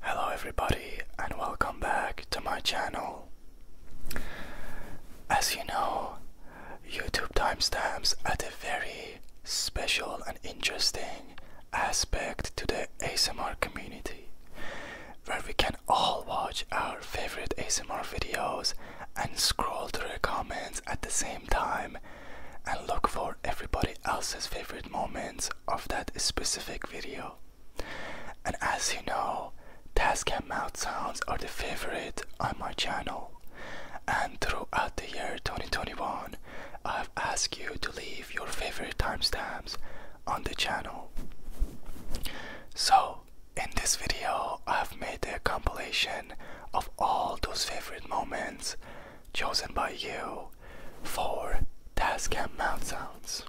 Hello everybody and welcome back to my channel. As you know, YouTube timestamps add a very special and interesting aspect to the ASMR community where we can all watch our favorite ASMR videos and scroll through the comments at the same time and look for everybody else's favorite moments of that specific video. And as you know, Tascam mouth sounds are the favorite on my channel. And throughout the year 2021, I've asked you to leave your favorite timestamps on the channel. So, in this video, I've made a compilation of all those favorite moments chosen by you for Tascam mouth sounds.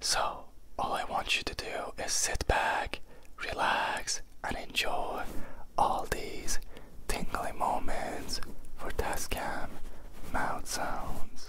So, all I want you to do is sit back, relax, and enjoy all these tingly moments for Tascam mouth sounds.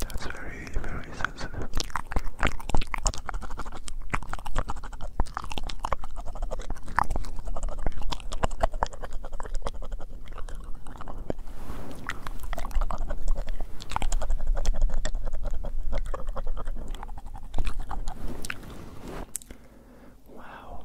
That's very, very sensitive. Wow.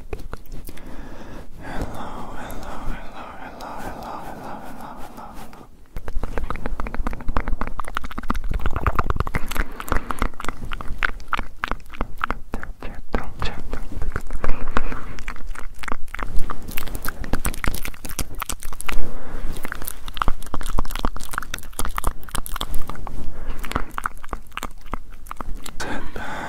hello, hello, hello, hello, hello, hello, hello, hello, hello. Sit back.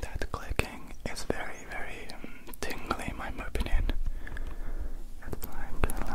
That clicking is very, very um, tingly, in my opinion. It's like, uh,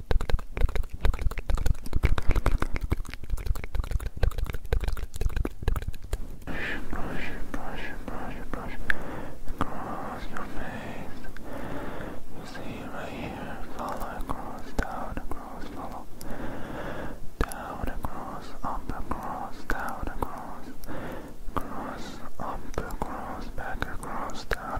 brush, brush, brush, brush across your face. You see right here, follow across, down, across, follow. Down, across, up, across, down, across, across, up, across, back, across, down.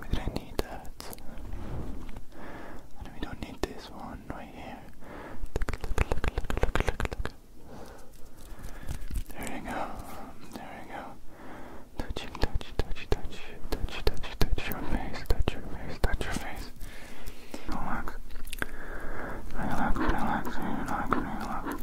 We do not need that. And we don't need this one right here. There you go. There you go. Touching, touch, touch, touch, touch, touch, touch your face, touch your face, touch your face. Relax. Relax, relax, relax, relax.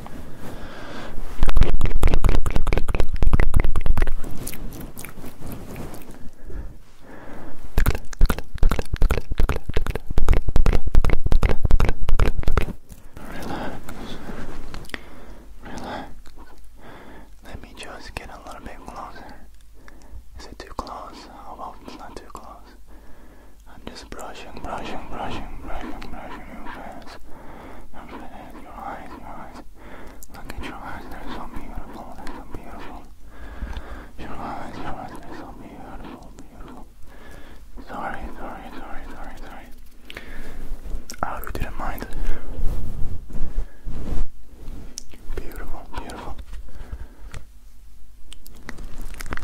Relax. Let me just get a little bit closer. Is it too close? I oh, hope it's not too close. I'm just brushing, brushing, brushing, brushing, brushing your face. Your face, your eyes, your eyes. Look at your eyes, they're so beautiful, so beautiful. Your eyes, your eyes, they're so beautiful, beautiful. Sorry, sorry, sorry, sorry, sorry. I hope you didn't mind. Beautiful, beautiful.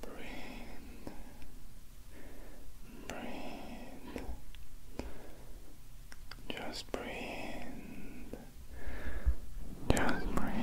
Breathe. Breathe. Just breathe. Just breathe. Just breathe.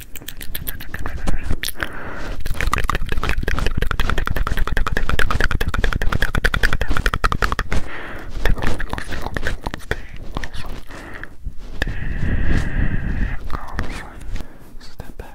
Step back. Step back.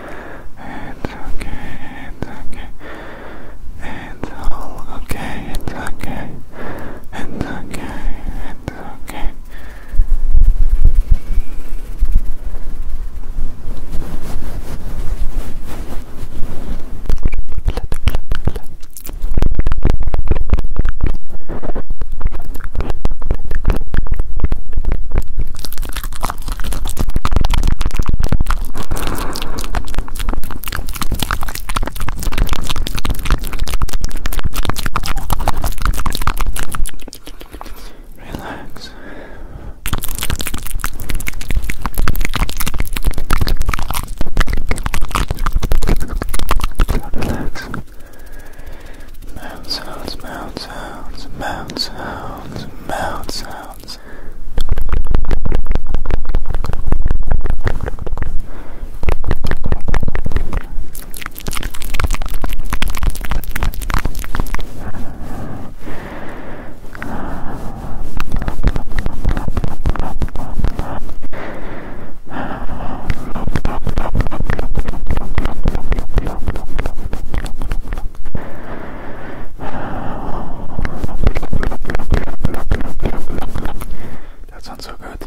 It's okay, it's okay. It's all okay, it's okay. It's okay, it's okay. Relax. Relax. Mouth sounds, mouth sounds, mouth sounds mouth sounds. That sounds so good. Yeah.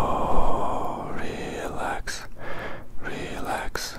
Oh, relax, relax,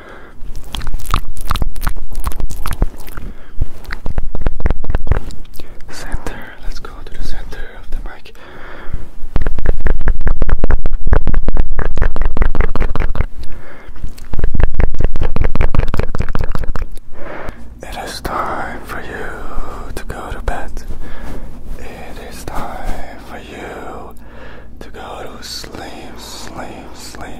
Center, let's go to the center of the mic. It is time for you to go to bed. It is time for you to go to sleep, sleep, sleep.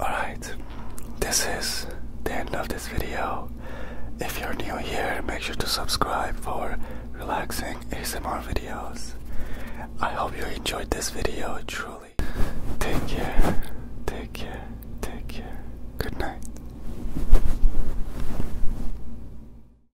Alright, this is the end of this video. If you're new here, make sure to subscribe for relaxing ASMR videos. I hope you enjoyed this video truly. Take care, take care, take care. Good night.